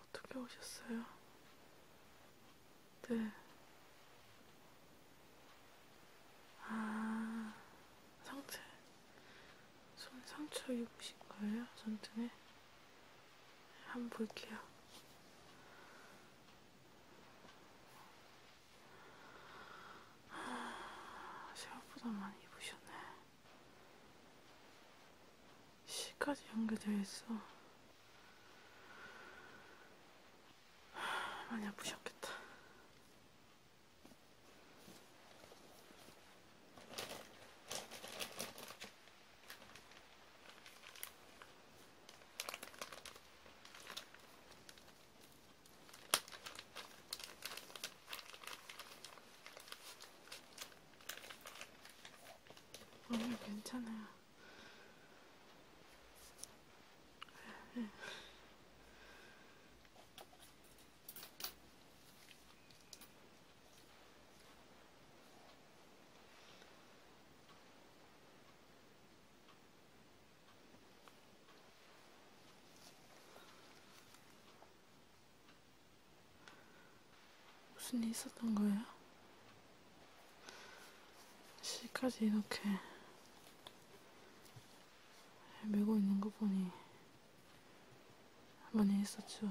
어떻게 오셨어요? 네. 아, 상체. 손 상처 입으신 거예요? 손등에? 한번 볼게요. 생각보다 아, 많이 입으셨네. C까지 연결되어 있어. 아, 많이 아프셨겠다. 아니 괜찮아요. 네. 무슨 일 있었던 거예요? 시까지 이렇게 메고 있는 거 보니 많이 있었죠.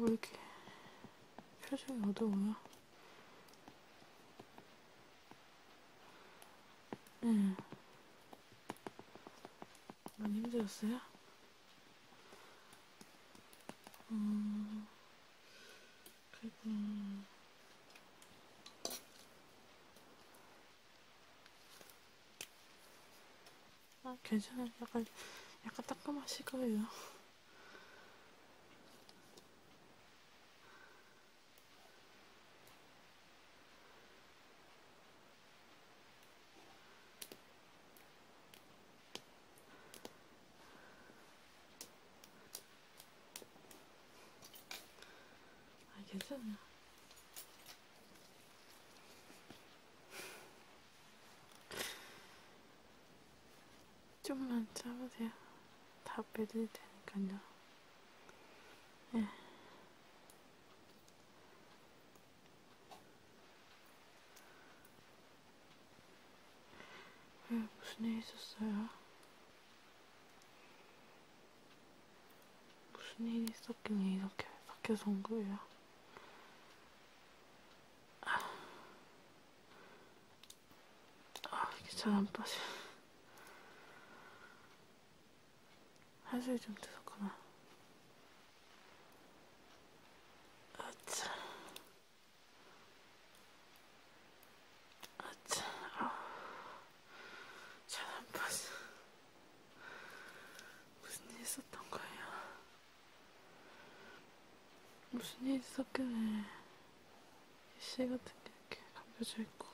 왜 이렇게 표정이 어두워요? 네. 많이 힘들었어요? 음, 그리고 아 괜찮아요. 약간 약간 따끔하실 거예요. 아, 괜찮아. 좀만 참으세요. 다 빼드릴 테니까요. 예. 네. 왜 무슨 일 있었어요? 무슨 일이 있었길래 이렇게 바뀌어서 온 거예요? 아, 아 이게 잘안 빠져. 한술이 좀 뜨섭구나. 아차. 잘안 봤어. 무슨 일 있었던 거예요? 무슨 일 있었길래 씨 같은 게 이렇게 감겨져 있고.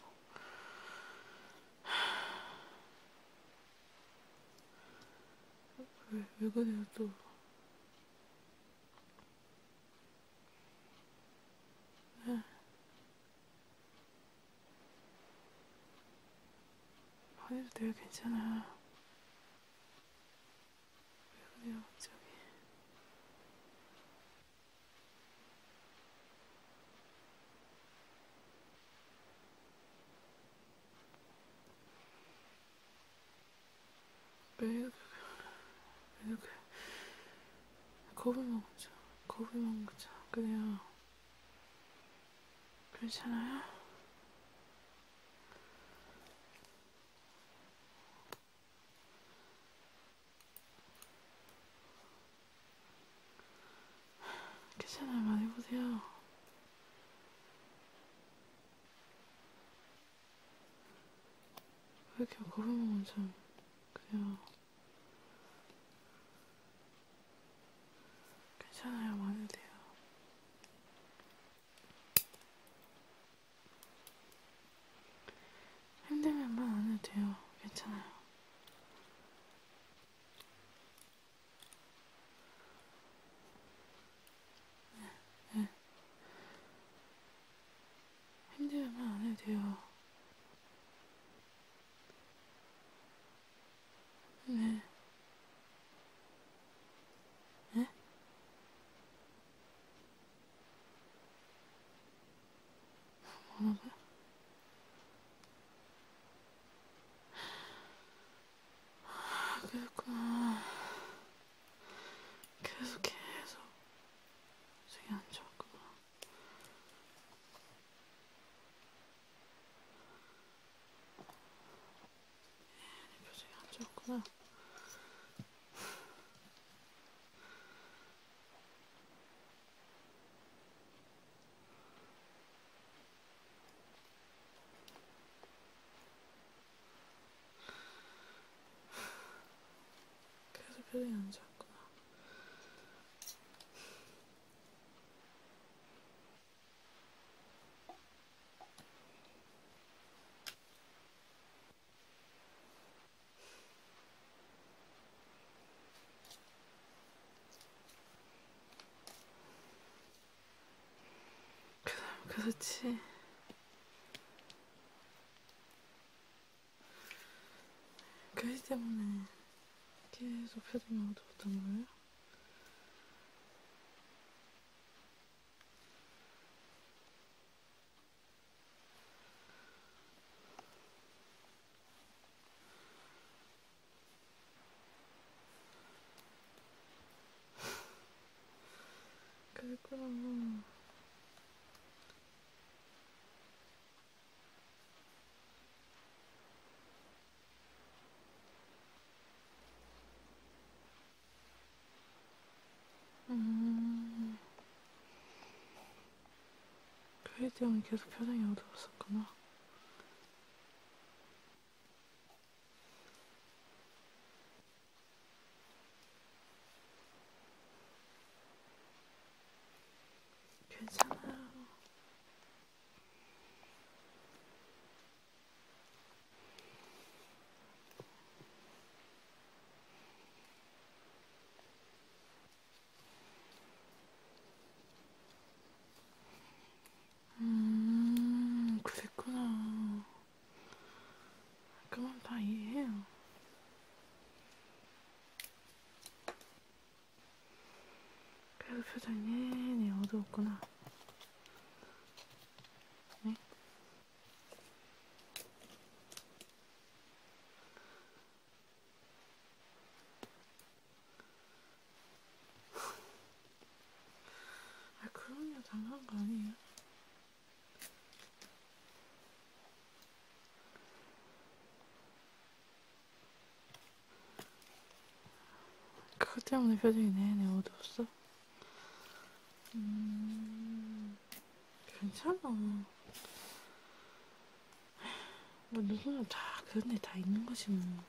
왜, 왜 그래요 또? 응. 아니도 내가 괜찮아. 왜 그래요, 갑자기. 매일 매일 겁을 먹자 겁을 먹자 그래요 괜찮아요? 괜찮아요 많이 보세요 왜 이렇게 걸어놓은 참 그냥 괜찮아요 많이 돼요 힘들면 말안 해도 돼요 괜찮아요 힘들면 안 해도 돼요. 네. 네? 뭐라고요? 아, 그랬구나. 계속 계속 속이 안 좋았구나. 내 표정이 안 좋았구나. 그래서 표정이 안 좋았구나. 그렇지. 그것 때문에 계속 표정이 어두웠던 거예요? 그리고 음, 그일 때문에 계속 표정이 어두웠었구나. 괜찮아. 음, 그랬구나. 그건 다 이해해요. 그래도 표정이 내내 어두웠구나. 네? 아, 그럼요. 당한 거 아니에요? 그거 때문에 표정이 내내 어두웠어? 음, 괜찮아. 뭐, 누구나 다 그런 데다 있는 거지, 뭐.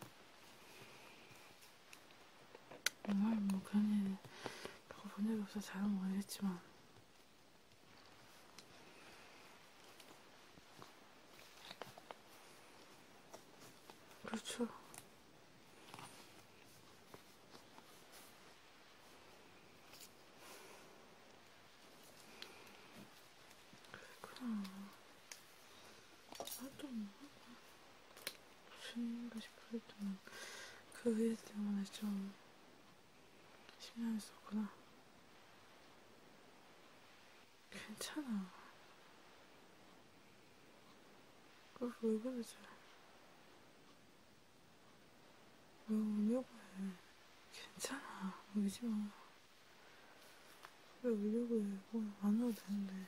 정말 뭐 괜히 그거 본일이 없어 잘은 모르겠지만 그렇죠. 그렇구나. 나도 뭐. 무슨가 싶어서 했더니 그일 때문에 좀 신경이 썼구나. 괜찮아. 그걸 왜 그러지? 왜 울려고 해? 괜찮아. 울지 마. 왜 울려고 해? 뭐 안 와도 되는데.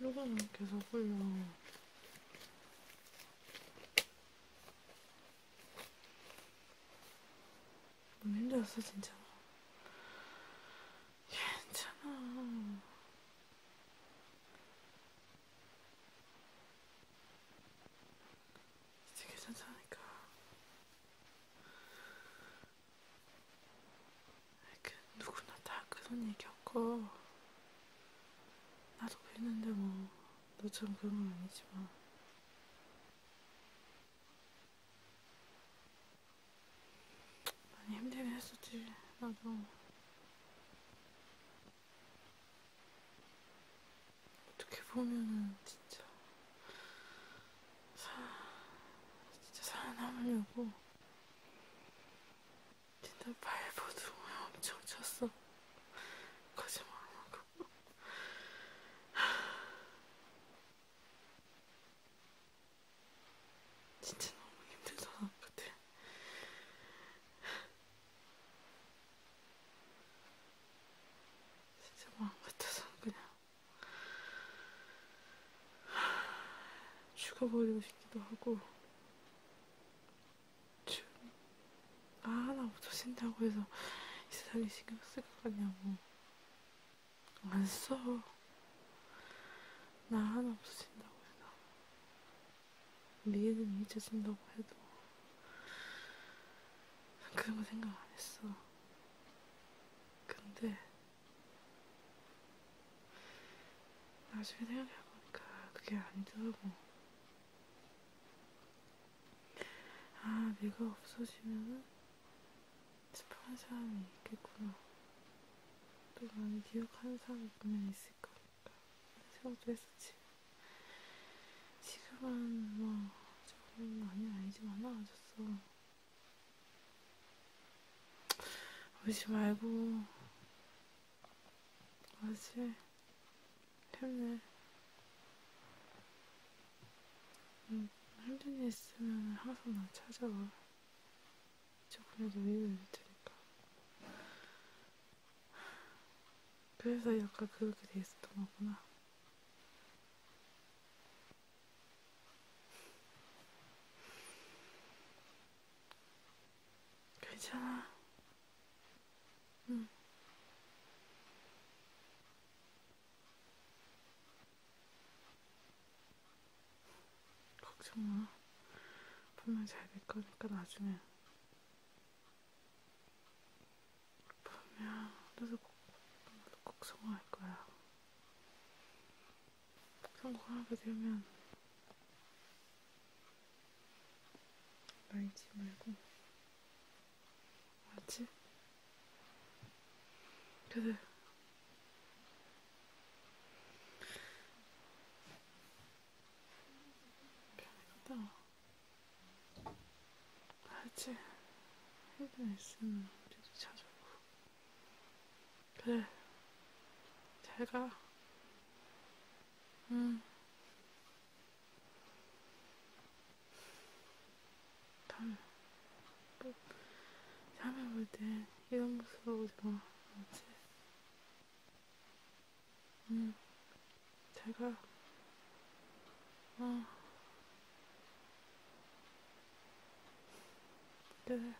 이거는 계속 흘려. 너무 음, 힘들었어, 진짜. 괜찮아. 진짜 괜찮다니까. 그 누구나 다 그런 얘기 없고. 나도 그랬는데 뭐 너처럼 그런 건 아니지만 많이 힘들긴 했었지 나도 어떻게 보면은 진짜 사, 진짜 살아남으려고 진짜 발버둥을 엄청 쳤어. 거짓말하고. 진짜 너무 힘들던 것 같아. 진짜 마음 같아서 그냥 죽어버리고 싶기도 하고 아 하나 없어진다고 해서 이 세상에 신경 쓸것 같냐고 안 써. 나 하나 없어진다고 해서 미래는 잊어진다고 해도 그런 거 생각 안 했어. 근데 나중에 생각해보니까 그게 아니더라고. 아, 내가 없어지면은 습한 사람이 있겠구나. 또 많이 기억하는 사람이 분명히 있을 거니까. 생각도 했었지. 지금은 뭐, 조금 많이 아니지만 나아졌어. 울지 말고, 어제 아, 힘내. 음, 힘든 일 있으면 항상 나 찾아와. 조금이라도 위로해 테니까. 그래서 약간 그렇게 돼 있었던 거구나. 괜찮아. 응. 음. 걱정 마. 분명 잘 될 거니까 나중에. 분명 너도 꼭, 너도 꼭 성공할 거야. 성공하게 되면 말지 말고 알지? 그래 편하겠다 알지? 해변에 있으면 우리도 찾아보고 그래. 잘 가. 응. 다음에, 뭐, 다음에 볼 때, 이런 모습으로 오지 마. 알지? 응. 음. 잘 가. 어. 그래. 네.